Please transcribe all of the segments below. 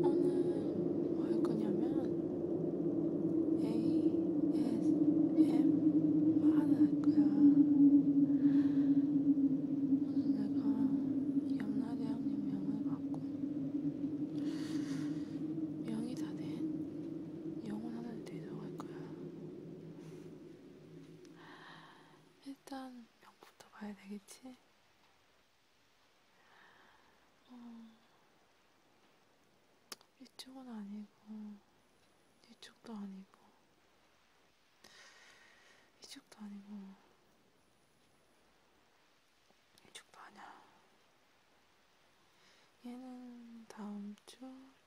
나는 뭐할 거냐면 ASM 말할 거야. 오늘 내가 염라대 형님 명을 받고 명이 다된 영혼 하나를 데려갈 거야. 일단 명부터 봐야 되겠지? 어, 이쪽은 아니고, 이쪽도 아니고, 이쪽도 아니고, 이쪽도 아니야. 얘는 다음 주,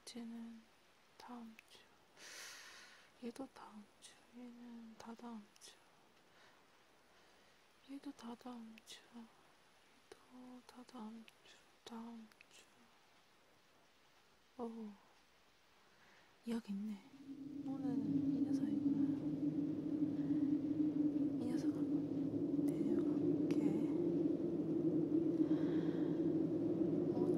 쟤는 다음 주, 얘도 다음 주, 얘는 다 다음 주. 얘도 다 다음 주, 얘도 다 다음 주, 다음 주. 오, 이야기 있네. 오늘은 이 녀석이구나. 이 녀석을 데려갈게. 오늘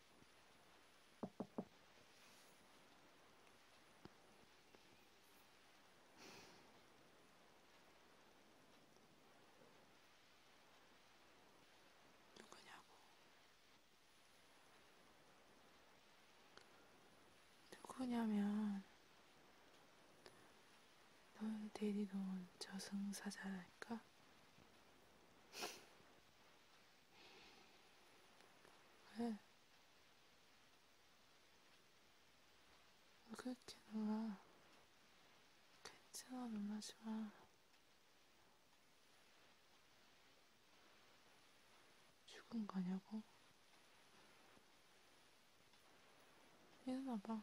누구냐고, 누구냐면, 넌 대리돈 저승사자랄까? 왜? 왜 그렇게 놀아? 괜찮아, 놀라지 마. 죽은 거냐고? 일어나봐.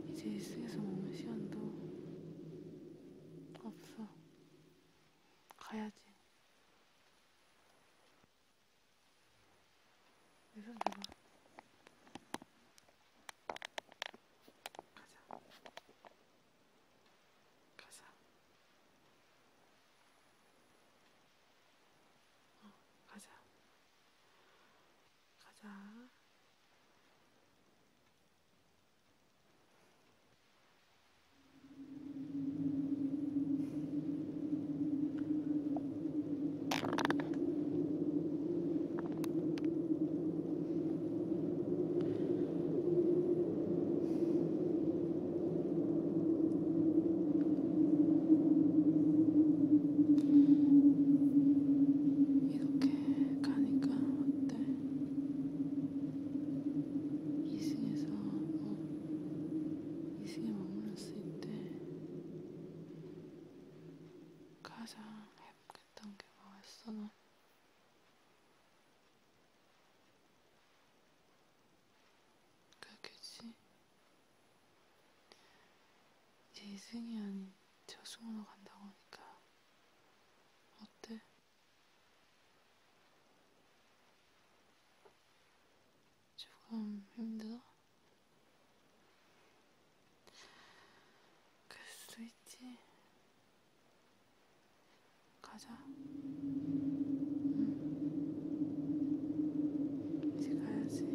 이제 이승에서 머물 시간도 없어. 가야지. 내손 잡아. 가자. 가자. 어, 가자. 가자. 이렇게 가니까 어때? 이승에서 뭐 이승에 머물렀을 때 가장 행복했던 게 뭐였어? 넌? 그렇겠지? 이제 이승이 아닌 저승으로 간다고 하니까 어때? 조금 힘들어? 그럴 수도 있지. 가자. 응. 이제 가야지.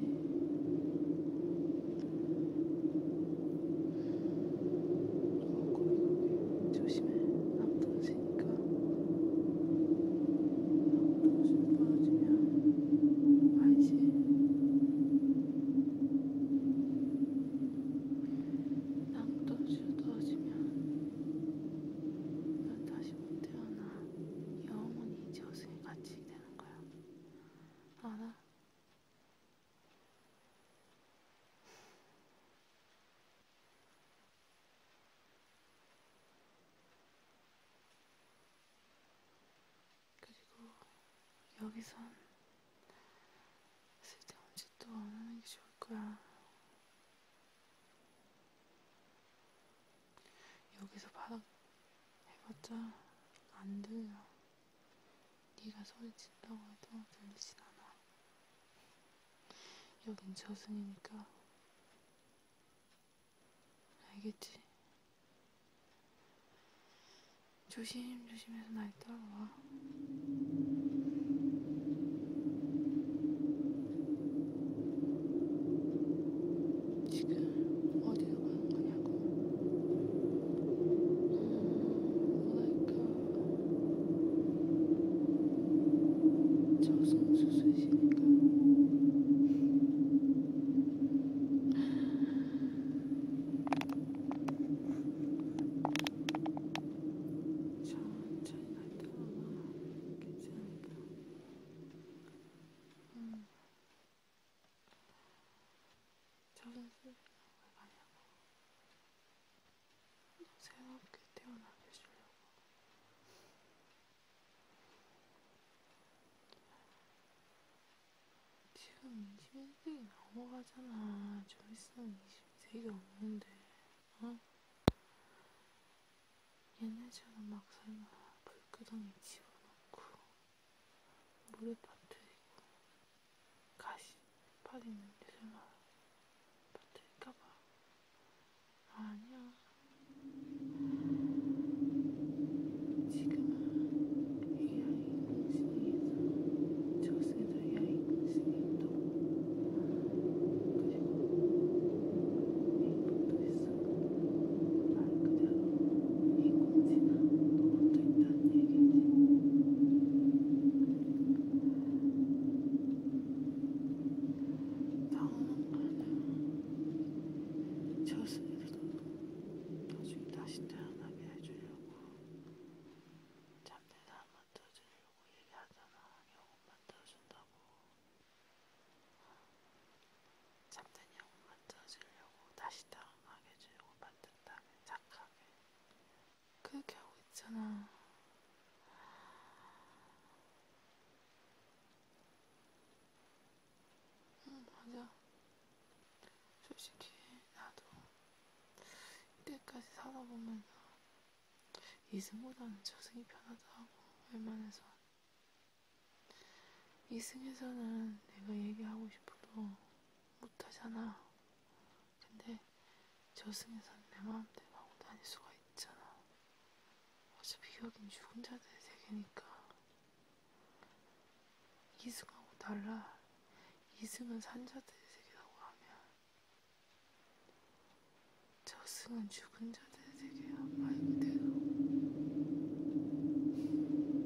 어, 조심해. 안 부러지니까. 안 아, 부러지면 부러지면 알지. 난 떨어지고 떨어지면 난 다시 못 태어나 영원히 저승에 갇히게 되는 거야. 알아? 그리고 여기선 쓸데없는 짓도 안 하는 게 좋을 거야. 여기서 바닥 해봤자 안 들려. 네가 소리친다고 해도 들리진 않아. 여긴 저승이니까 알겠지? 조심조심해서 날 따라와. 지금 어디로 가는 거냐고. 뭐랄까. 저승수수이시니까. 천천히 갔다 오면 괜찮을까? 음. 저런 소리를 왜 하냐고. 새롭게 태어나게 주려고. 지금 21세기 넘어가잖아. 좀 있으면 20세기 없는데, 어? 얘네처럼 막 설마 불구덩이 집어넣고 물에 빠뜨리고 가시 파리는 예술마 빠뜨릴까봐 아니야 지금은 AI 공신이 있어 저승에서 AI 공신이 있다고 그리고 행복도 있어 말 그대로 이 공지나 녹음도 있다는 얘기지. 나오는 거는 저스에도 나중에 다시 태어나게 해주려고 잠들다 한번 떠주려고 얘기하잖아. 영혼만 떠준다고. 잠든 영혼만 떠주려고 다시 태어나게 해주려고 만든 그다음에 착하게 그렇게 하고 있잖아. 응 맞아. 솔직히 나도 이때까지 살아보면서 이승보다는 저승이 편하다고 웬만해서 이승에서는 내가 얘기하고 싶어도 못하잖아. 근데 저승에선 내 마음대로 하고 다닐 수가 있잖아. 어차피 여긴 죽은 자들의 세계니까. 이승하고 달라. 이승은 산자들의 세계라고 하면 저승은 죽은 자들의 세계야 말 그대로.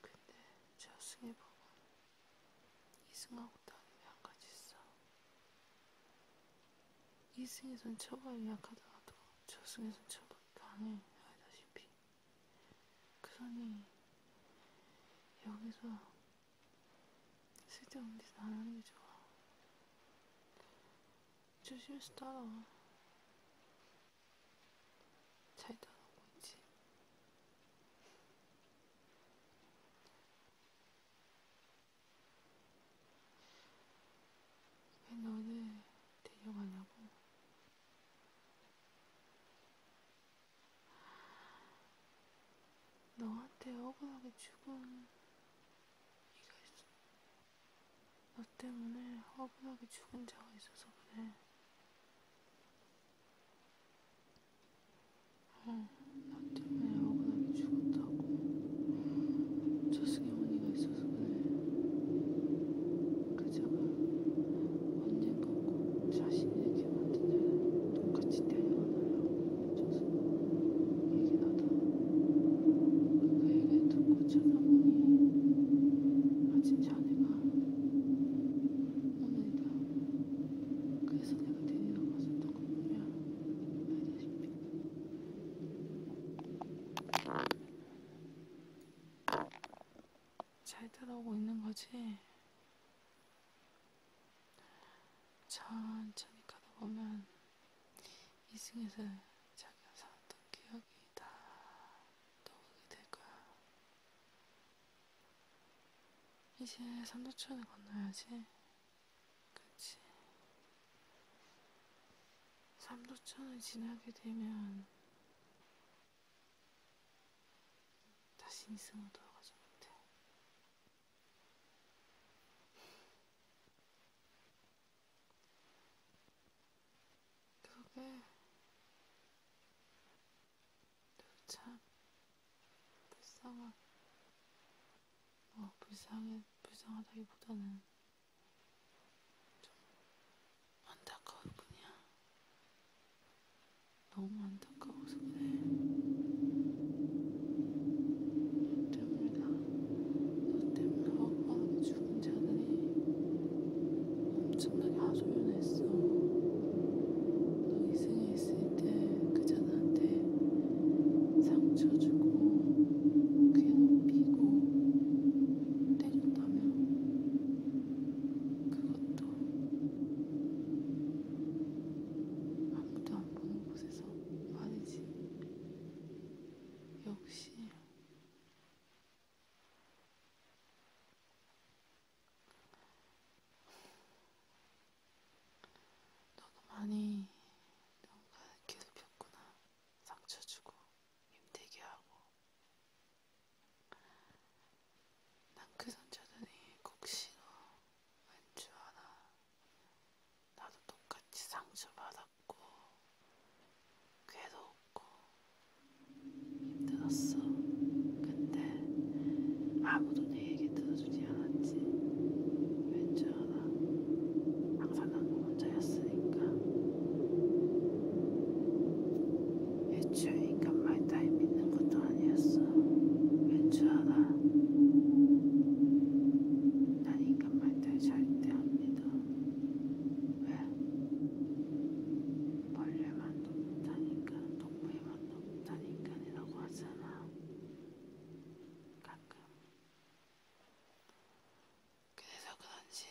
근데 저승의 법은 이승하고 다른 게한 가지 있어. 이승에선 처벌이 약하더라도 저승에선 처벌이 강해. 알다시피. 그러니 여기서 쓸데없는 짓안 하는 게 좋아. 조심해서 따라와. 잘다 놓고 있지. 왜 너를 데려가냐고? 너한테 억울하게 죽은 이가 있어. 너 때문에 화분하게 죽은 자가 있어서 그래. 어, 나 때문에 화분하게 죽었다고. 저승이 언니가 있어서 그래. 그 자가 언젠가 꼭 자신에게 만든 자를 똑같이 데려가달라고 저승이 얘기하다. 그 얘기를 듣고 그 쳐다보니 아 진짜 아내가 오늘이다 그래서 내가 데리러 갔었던 거 뭐야 알다시피 잘 따라오고 있는 거지? 천천히 가다 보면 이승에서 자기가 살았던 기억이 기다 떠오르게 될 거야. 이제 3도천을 건너야지. 그치? 3도천을 지나게 되면 다시 이승으로 돌아가지 못해. 그게 참 불쌍한 뭐 불쌍해 불쌍하다기보다는 좀 안타까울 뿐이야. 너무 안타까워서 그래. 때문에 나, 너 때문에 허구하게 죽 자들이 엄청나게 하소연했어. 너 이승에 있을 때 그 자한테 상처 주고 그게 높이고 때렸다며 그것도 아무도 안 보는 곳에서 말이지. 역시 너도 많이 뭔가 괴롭혔구나. 상처 주고 힘들게 하고. 난그 선자들이 꼭 싫어. 왠줄 알아. 나도 똑같이 상처 받았고. 없고 괴도 없고 힘들었어. 근데 아무도 내 얘기 들어주지 않았지. 왠지 알아. 항상 난 혼자였으니까. 애초에 인간 말 따위 믿는 것도 아니었어. 왠지 알아. 난 인간 말 따위 절대 안 믿어. 왜? 벌레만 높다니까, 동물만 높다니까라고 하잖아. 가끔. 그래서 그런지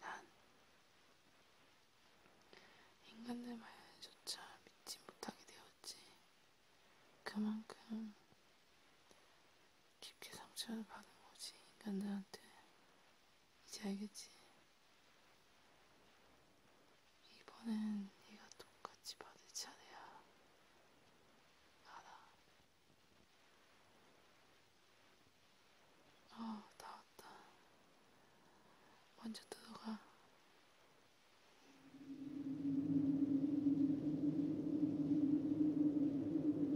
난 인간들 말조차 믿지 못하게 되었지. 그만큼 깊게 상처를 받은 거지, 인간들한테. 이제 알겠지? 이번엔 네가 똑같이 받을 차례야. 알아. 어, 다 왔다. 먼저 들어가.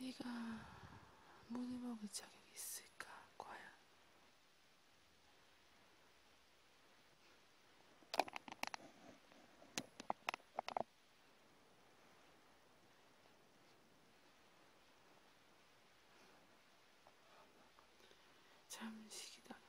네가 문을 먹을 자격이 있을까, 과연? 잠시 기다려봐.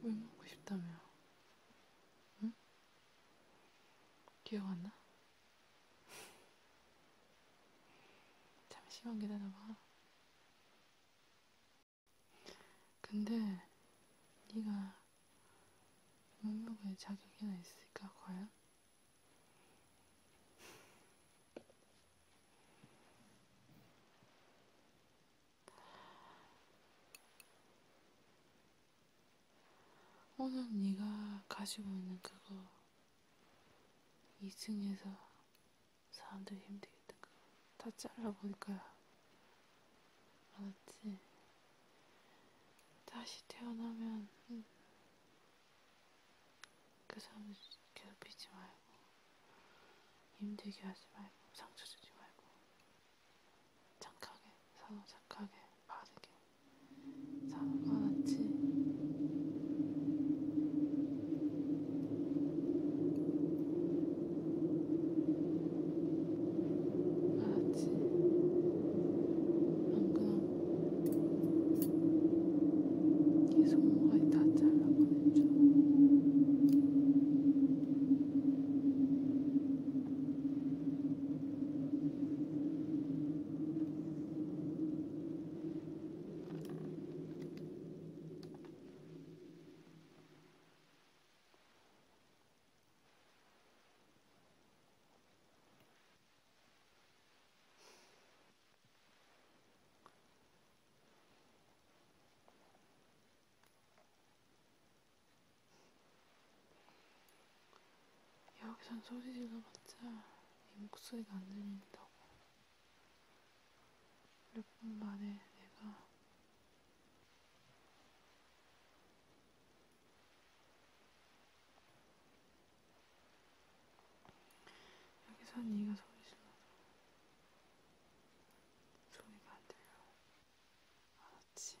물 먹고 싶다며. 응? 기억 안 나? 잠시만 기다려봐. 근데 네가 못 먹을 자격이나 있을까 과연? 오늘 네가 가지고 있는 그거 2층에서 사람들이 힘들겠다 그거 다 잘라버릴 거야 알았지? 다시 태어나면 응. 그 사람을 괴롭히지 말고 힘들게 하지 말고 상처 주지 말고 착하게 서로 착하게 바르게 사는 거 같지 알았지? 안 그럼 이 손목까지 다 잘라 꺼내줘. 여기선 소리 질러봤자 이 목소리가 안 들린다고. 몇 분 만에 내가 여기선 네가 소리 질러도 소리가 안 들려. 알았지?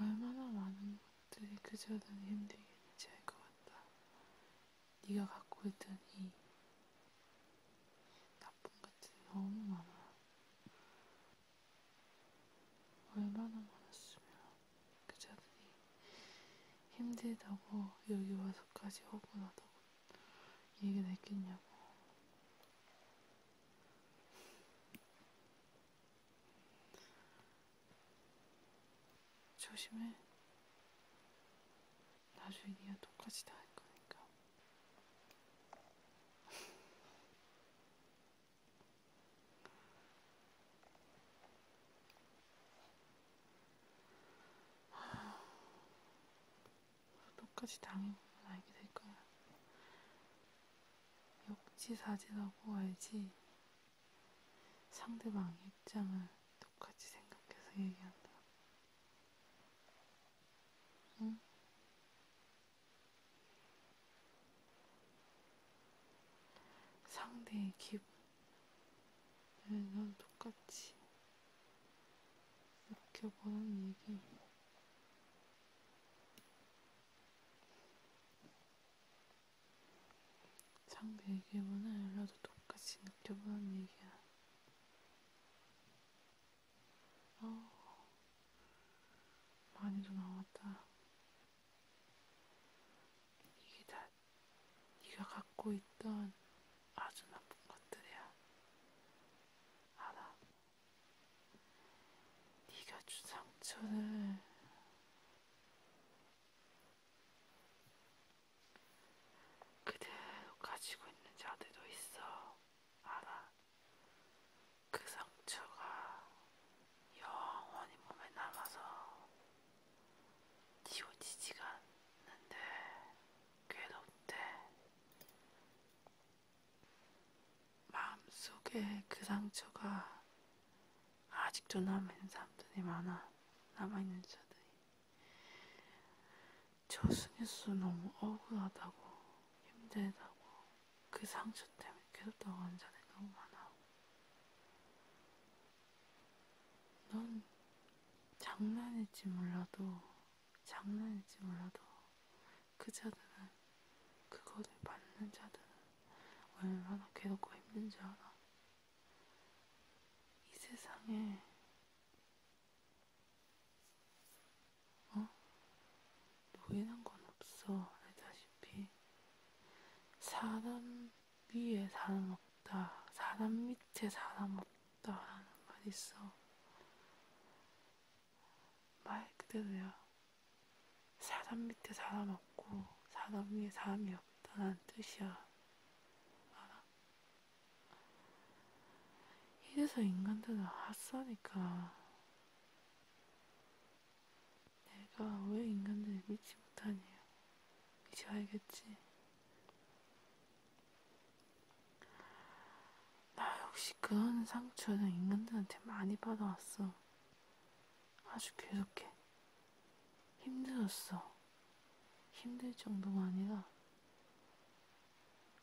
얼마나 많은 것들이 그저든 힘들겠는지 알 것 같다. 네가 갖고 있던 이 나쁜같이 너무 많아요. 얼마나 많았으면 그자들이 힘들다고 여기 와서까지 억울하다고 얘기를 했겠냐고. 조심해. 나중에 네가 똑같이 다할 거니까. 똑같이 당해보면 알게 될 거야. 역지사지라고 알지. 상대방 입장을 똑같이 생각해서 얘기한다. 응? 상대의 기분, 넌 똑같이 느껴보는 얘기. 상대의 기분을 나도 똑같이 느껴보는 얘기야. 어, 아, 많이도 나왔다. 이게 다 네가 갖고 있던 아주 나쁜 것들이야. 알아. 네가 준 상처를 그대로 가지고 있는 자들도 있어. 알아. 그 상처가 영원히 몸에 남아서 지워지지가 않는데 괴롭대. 마음속에 그 상처가 아직도 남아있는 사람들이 많아. 남아있는 자들이 저승에서 너무 억울하다고 힘들다고 그 상처 때문에 계속 나가는 자생각만 하고 넌 장난일지 몰라도 장난일지 몰라도 그 자들은 그거를 받는 자들은 얼마나 괴롭고 힘든지 알아 이 세상에 어? 보이는 건 없어. 알다시피. 사람 위에 사람 없다. 사람 밑에 사람 없다. 라는 말이 있어. 말 그대로야. 사람 밑에 사람 없고, 사람 위에 사람이 없다는 뜻이야. 알아? 이래서 인간들은 핫사니까 내가 왜 인간들을 믿지 못하냐 이제 알겠지 나 역시 그런 상처를 인간들한테 많이 받아왔어 아주 괴롭게 힘들었어 힘들 정도가 아니라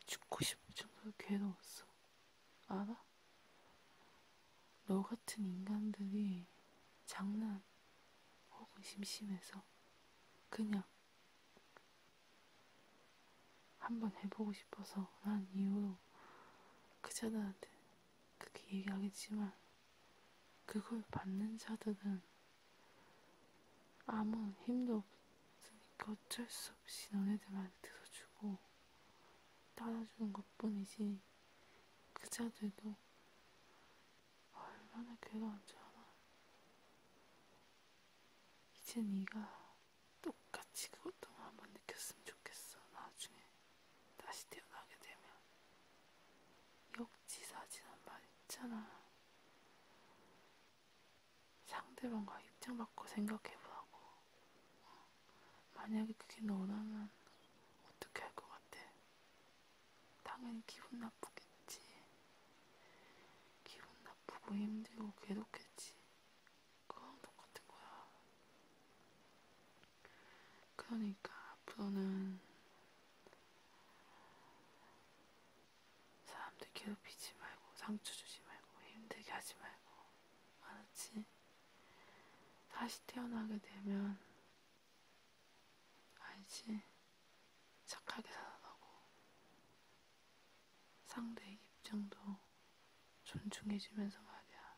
죽고 싶은 정도로 괴로웠어. 알아? 너 같은 인간들이 장난 혹은 심심해서 그냥 한번 해보고 싶어서 난 이후로 그 자들한테 그렇게 얘기하겠지만 그걸 받는 자들은 아무 힘도 그러니까 어쩔 수 없이 너네들한테서 주고 따라주는 것 뿐이지 그자들도 얼마나 괴로운 줄 알아 이제 네가 똑같이 그것도 한번 느꼈으면 좋겠어 나중에 다시 태어나게 되면 역지사지란 말 있잖아 상대방과 입장 바꿔 생각해보라고. 만약에 그게 너라면 어떻게 할 것 같아? 당연히 기분 나쁘겠지. 기분 나쁘고 힘들고 괴롭겠지. 그건 똑같은 거야. 그러니까 앞으로는 사람들 괴롭히지 말고 상처 주지 말고 힘들게 하지 말고 알았지? 다시 태어나게 되면 알지? 착하게 살아가고 상대의 입장도 존중해주면서 말이야.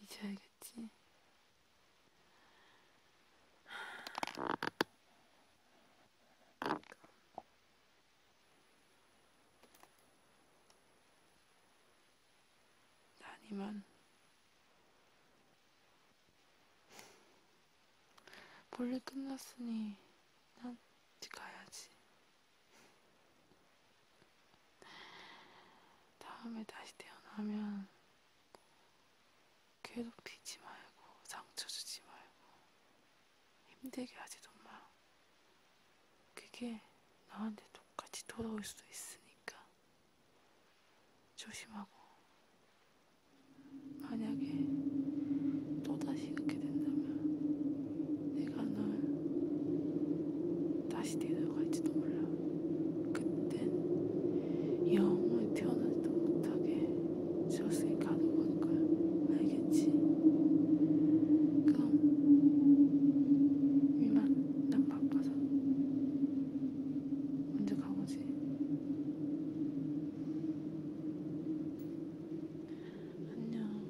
이제 알겠지? 아니면 볼일 끝났으니 난 이제 가야지. 다음에 다시 태어나면 괴롭히지 말고 상처 주지 말고 힘들게 하지도 마. 그게 나한테 똑같이 돌아올 수도 있으니까 조심하고 만약에 또다시 이렇게 된다면 내가 널 다시 데려갈지도 몰라. 그땐 영원히 태어나지도 못하게 지었으니 가는 거니까 알겠지? 그럼 이만 난 바빠서 언제 가보지? 안녕.